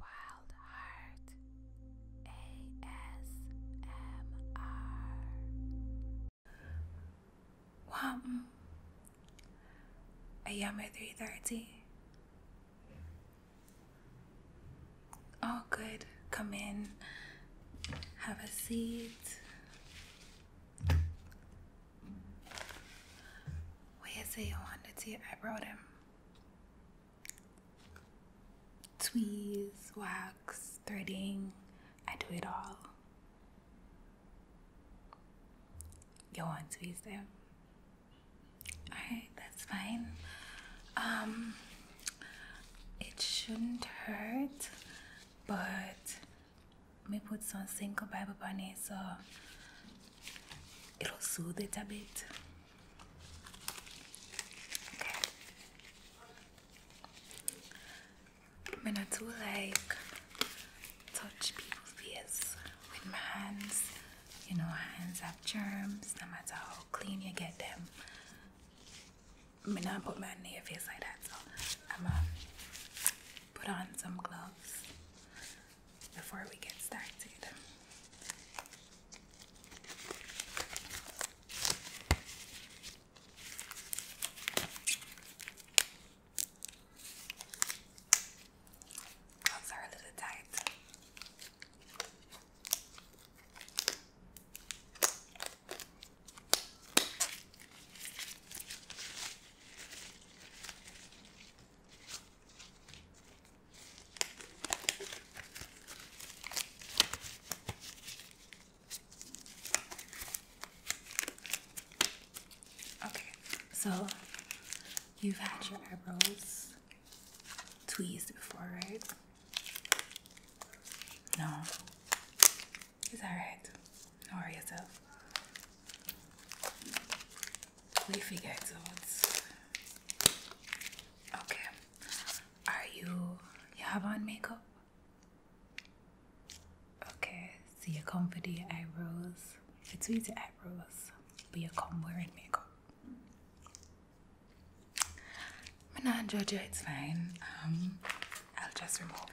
Wild I am at 3.30. All good. Come in. Have a seat. Where's the Yolanda T? I wrote him. Tweez, wax, threading. I do it all. Go on, tweeze them. Alright, that's fine. Um, it shouldn't hurt, but me put some single on bunny so it'll soothe it a bit. I'm gonna like touch people's face with my hands. You know, hands have germs, no matter how clean you get them. I'm going put my near face like that, so I'm gonna put on some gloves before we get started. Gloves are Okay, so you've had your eyebrows tweezed before, right? No. It's alright. Don't worry yourself. We leafy exodes. Okay. Are you you have on makeup? Okay, so you come for Your eyebrows. It's with the eyebrows, but you come wearing makeup. I'm not it's fine. Um I'll just remove it.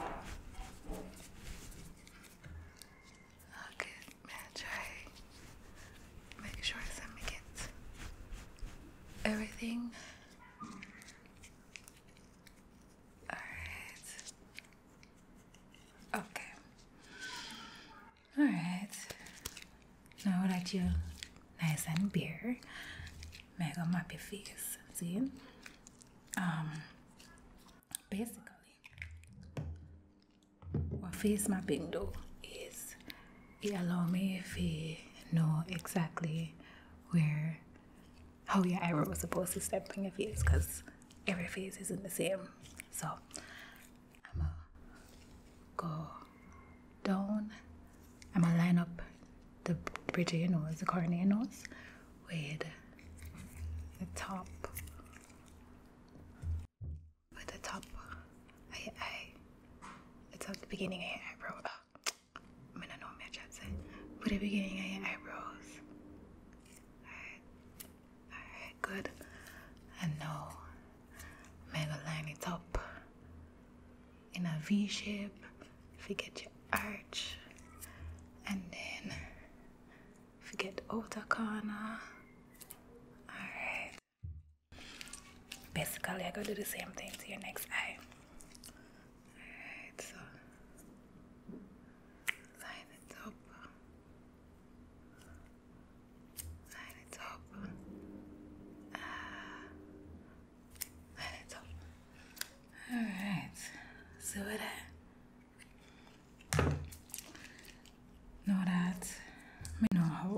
Oh, good. Man, try. Make sure Sammy gets everything. Alright. Okay. Alright. Now I like you nice and bare. Make them face. See? Um basically what face mapping do is it allow me to know exactly where how your eyebrow is supposed to step on your face because every face isn't the same. So I'ma go down. I'm gonna line up the bridge of your nose, the corner of nose, with the top, with the top I, your eye, the beginning ah, I, your eyebrow. I mean, I know what I'm said. to say. With the beginning I your eyebrows. Alright, alright, good. And now, I'm gonna line it up in a V shape Forget your arch and then forget you outer corner alright basically I go to do the same thing to your next eye alright so line it up line it up uh, Alright, So what I know that I know how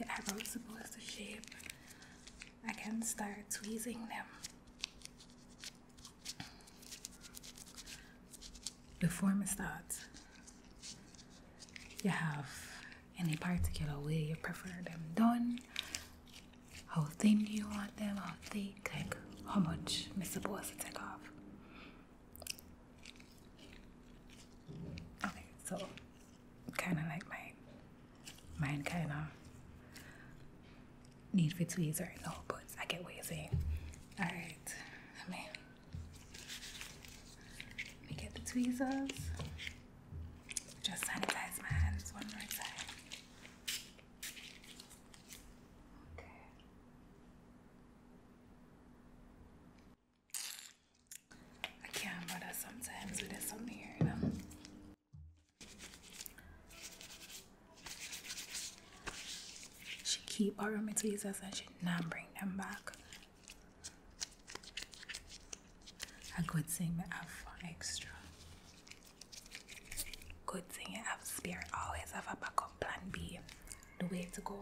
your eyebrow supposed to shape. I can start tweezing them. Before we start, you have any particular way you prefer them done, how thin do you want them, how thick, like how much Mr. Boss, to take off. Okay, so kind of like my, Mine kind of need for tweezers right now, but I get what All right, let me get the tweezers. Just sanitize my hands one more time. Okay. I can't bother sometimes with this on here, you know. She keep borrowing my tweezers and she not bring them back. I could thing to have for extra. Good thing to have spare. Always have a backup plan B. The way to go.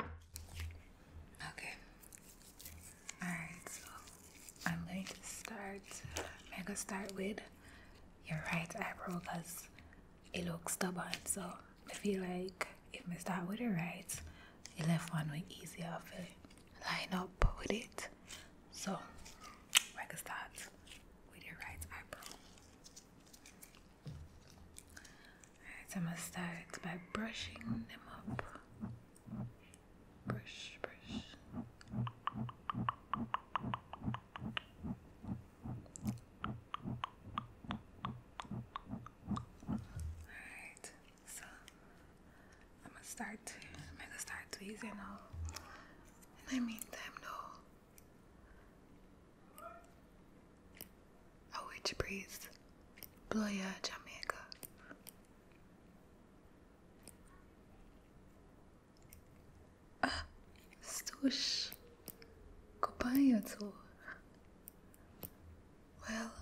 Okay. Alright, so I'm going to start. I'm going to start with your right eyebrow because it looks stubborn. So I feel like if me start with the right, the left one way easier for line up with it. So I can start with the right eyebrow. Alright, I'm gonna start by brushing them up. Brush, brush. Alright, so I'm gonna start to I'm gonna start tweezing all. And I mean them no A witch blow ya Jamaica Ah Stush Well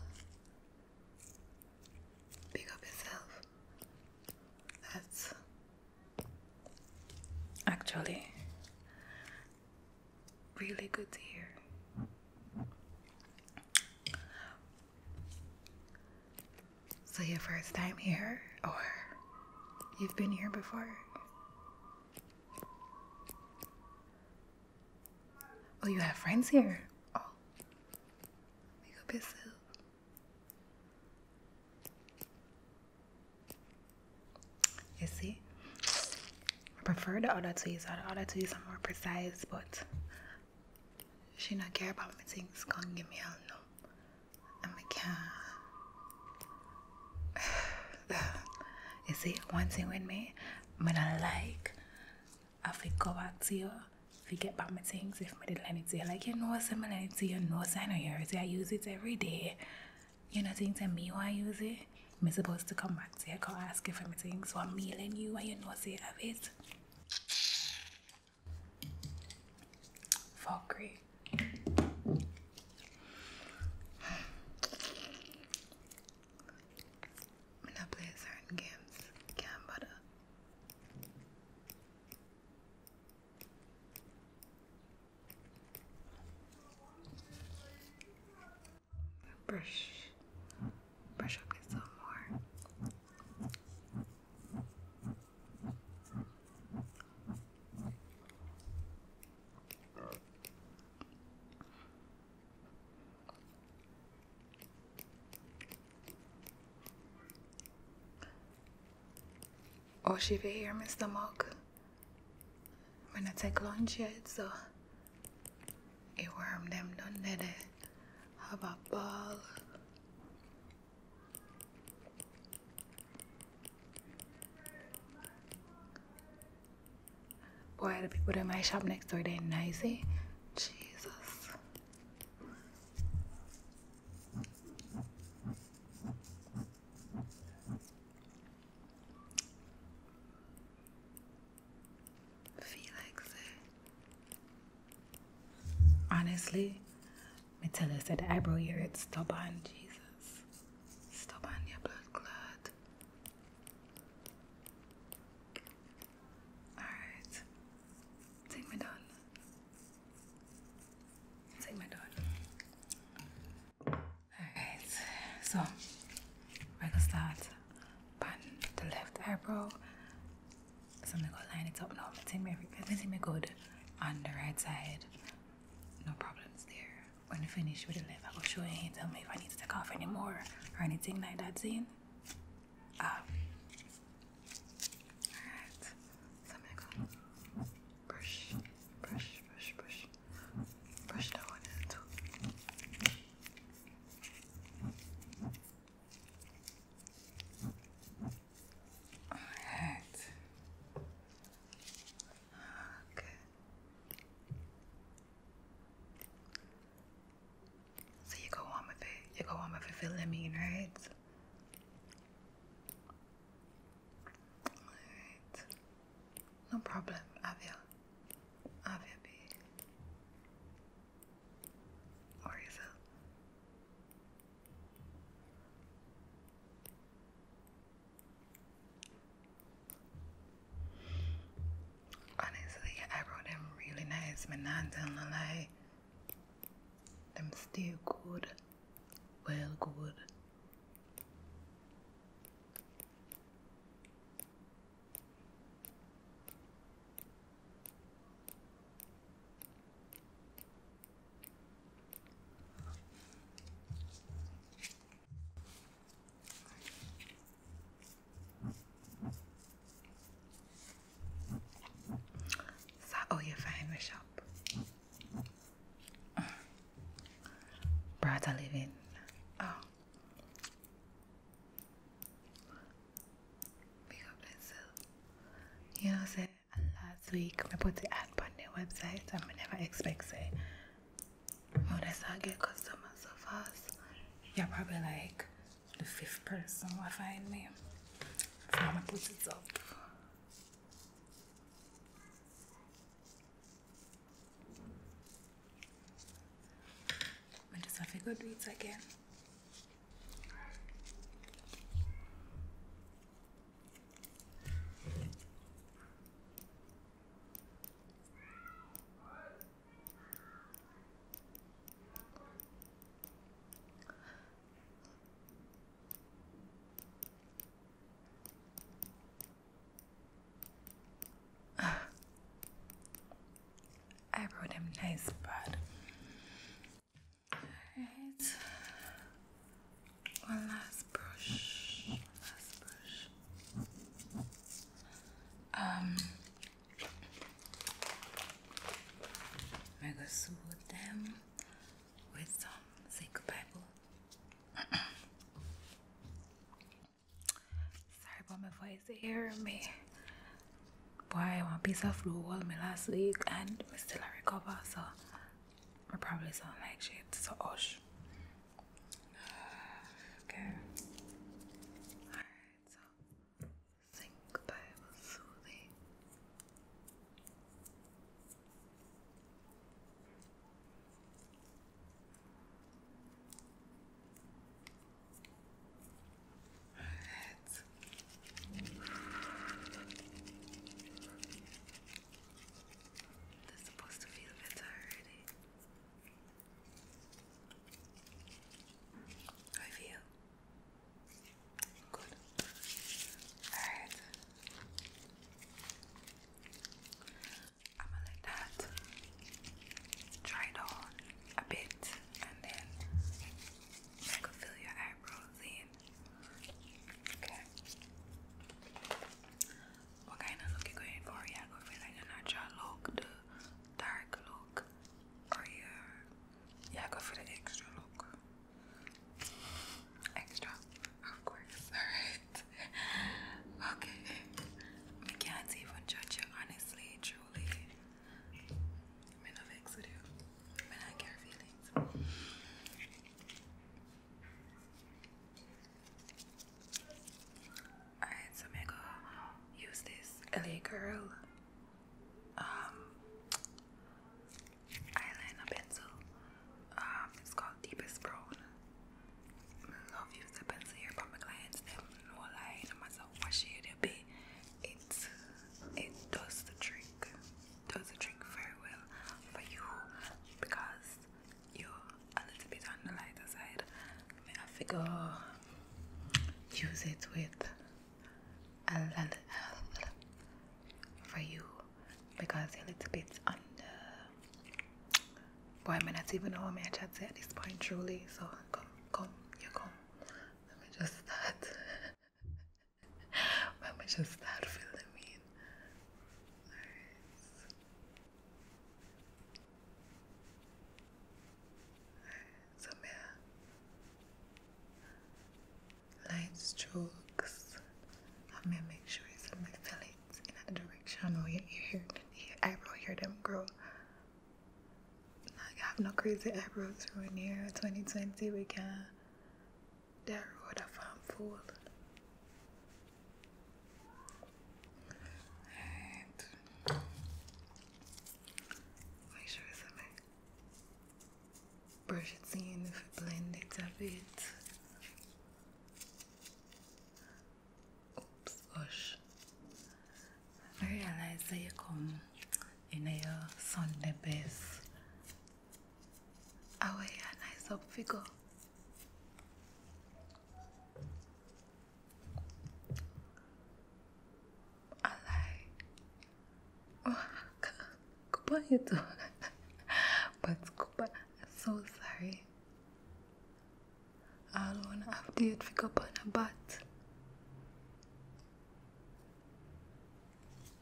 Pick up yourself. That's actually really good to hear. So, your first time here, or you've been here before? Oh, you have friends here. Oh, you go piss You see, I prefer the other two. So the other two are more precise, but she not care about me things. Gonna give me all no. And I can you see, one thing with me, I don't like if we go back to you, I get back my things if I did anything. Like you know similarity, you know yours. I use it every day. You know things that me why I use it. I'm supposed to come back to you, I go ask you for my things. So I'm mailing you and you know say of it. Fuckery. I'm not playing certain games. Can't bother. Brush, brush up some more. Oh, she be here, Mr. Mug. When I take lunch yet, so a warm them don't done it Have a ball. Boy, the people in my shop next door, they're nicey. Eh? Jesus. Felix. Eh? Honestly, me tell us that the eyebrow here it's stubborn, Jesus. Stubborn your blood clot. Alright. Take my done. Take my done. Alright, so we're gonna start on the left eyebrow. So I'm gonna line it up now. Take me everything me good on the right side. No problems there. When I finish with the left, I'll show you and tell me if I need to take off anymore or anything like that, Zane. Um, alright, so I'm gonna go brush, brush, brush, brush, brush that one in too. Alright. Okay. So you go on with it. You go on with it, feeling mean, right? No problem, Avia. Avia B. Or Honestly, I wrote them really nice, but not gonna lie. I'm still good, well, good. سأقوي فهم شاب brought a living oh big up myself you know say last week I put the ad on their website and I never expect say when I start get customers so fast you're probably like the fifth person will find me. I'm gonna put it up. I just have to go do it again. I wrote him nice, but alright. One last brush. One last brush. Um, i got gonna soothe them with some zinc pebble. Sorry about my voice. You hear me? Boy, I want piece of flu all me last week and I still a recover, so I probably sound like shit. So hush. Okay think they were soothing. supposed to feel better already. I feel Good. Alright. I'm gonna let that dry down a bit and then fill your eyebrows in. Okay. What kind of look you going for? Yeah, go for like a natural look, the dark look, or your yeah, go for the extra look. Extra, of course. Alright. Okay. We can't even judge you, honestly, truly. I'm not vexed you. I'm not care feelings. Alright, so I'm gonna use this LA Girl um, eyeliner pencil. Um, it's called Deepest Brown. I love using the pencil here, but my clients them no lie, no matter what shade it it it does the trick. Does the trick very well for you because you're a little bit on the lighter side. I figure use it with I'll send for you because you're a little bit under. Boy, I may even know how my chat say at this point, truly. So come, come, you come. Let me just start. Let me just start filling in. Alright. Alright, so yeah light strokes. I'm gonna make sure it's in my fillings in that direction where your ear, your eyebrow hear them grow. I have no crazy eyebrows through here. 2020 we can the road of harmful. Alright. Make sure it's in my brush it in, blend it a bit. Oops, gosh. I realize that come in your Sunday best. I wear I like, wow, Cuba you do, but Cuba, so sorry. I don't wanna update for Cuba but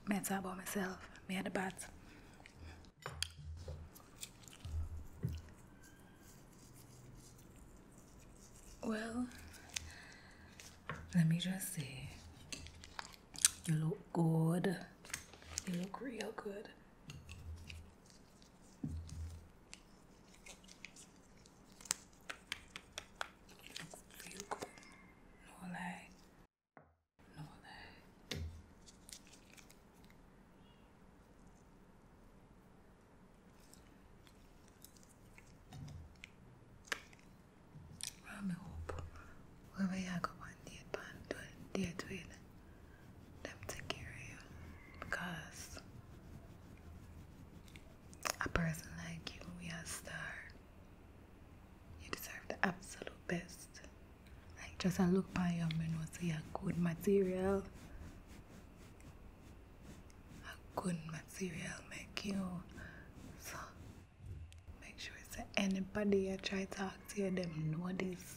me talk about myself, me a the bat. Well, let me just say, You look good. You look real good. You look good. No lie. No lie. I'm We a upo wewe yako bandie bantu ndiye twile. Them take care of you because a person like you, we are a star. You deserve the absolute best. Like just a look by your menu, see a good material. A good material make you so Make sure it's anybody you try to talk to, them know this.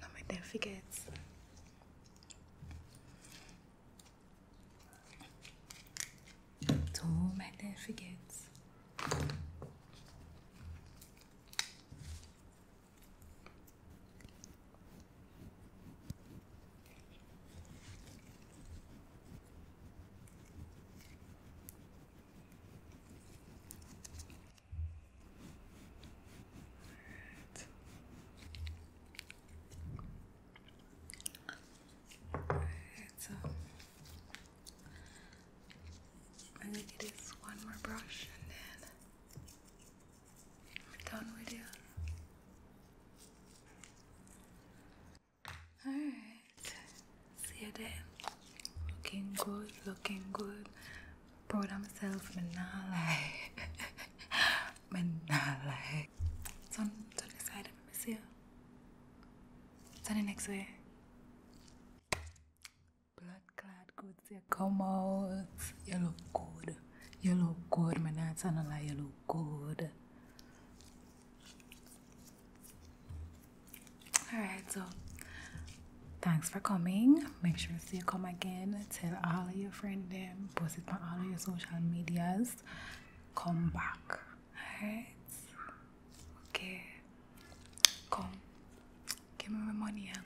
Not make them forgets. Don't make them all right, so I think it is one more brush and then I'm done with you. Alright, see you there. Looking good, looking good. Proud of myself, me not lie. me not lie. Turn, turn the side of me, see you. Turn the next way. Blood blood, good. you come out. You look good. You look good, my not turn lie, you look good. All right, so thanks for coming. Make sure to you come again. Tell all of your friends them. Post it on all of your social medias. Come back. All right. Okay. Come. Give me my money and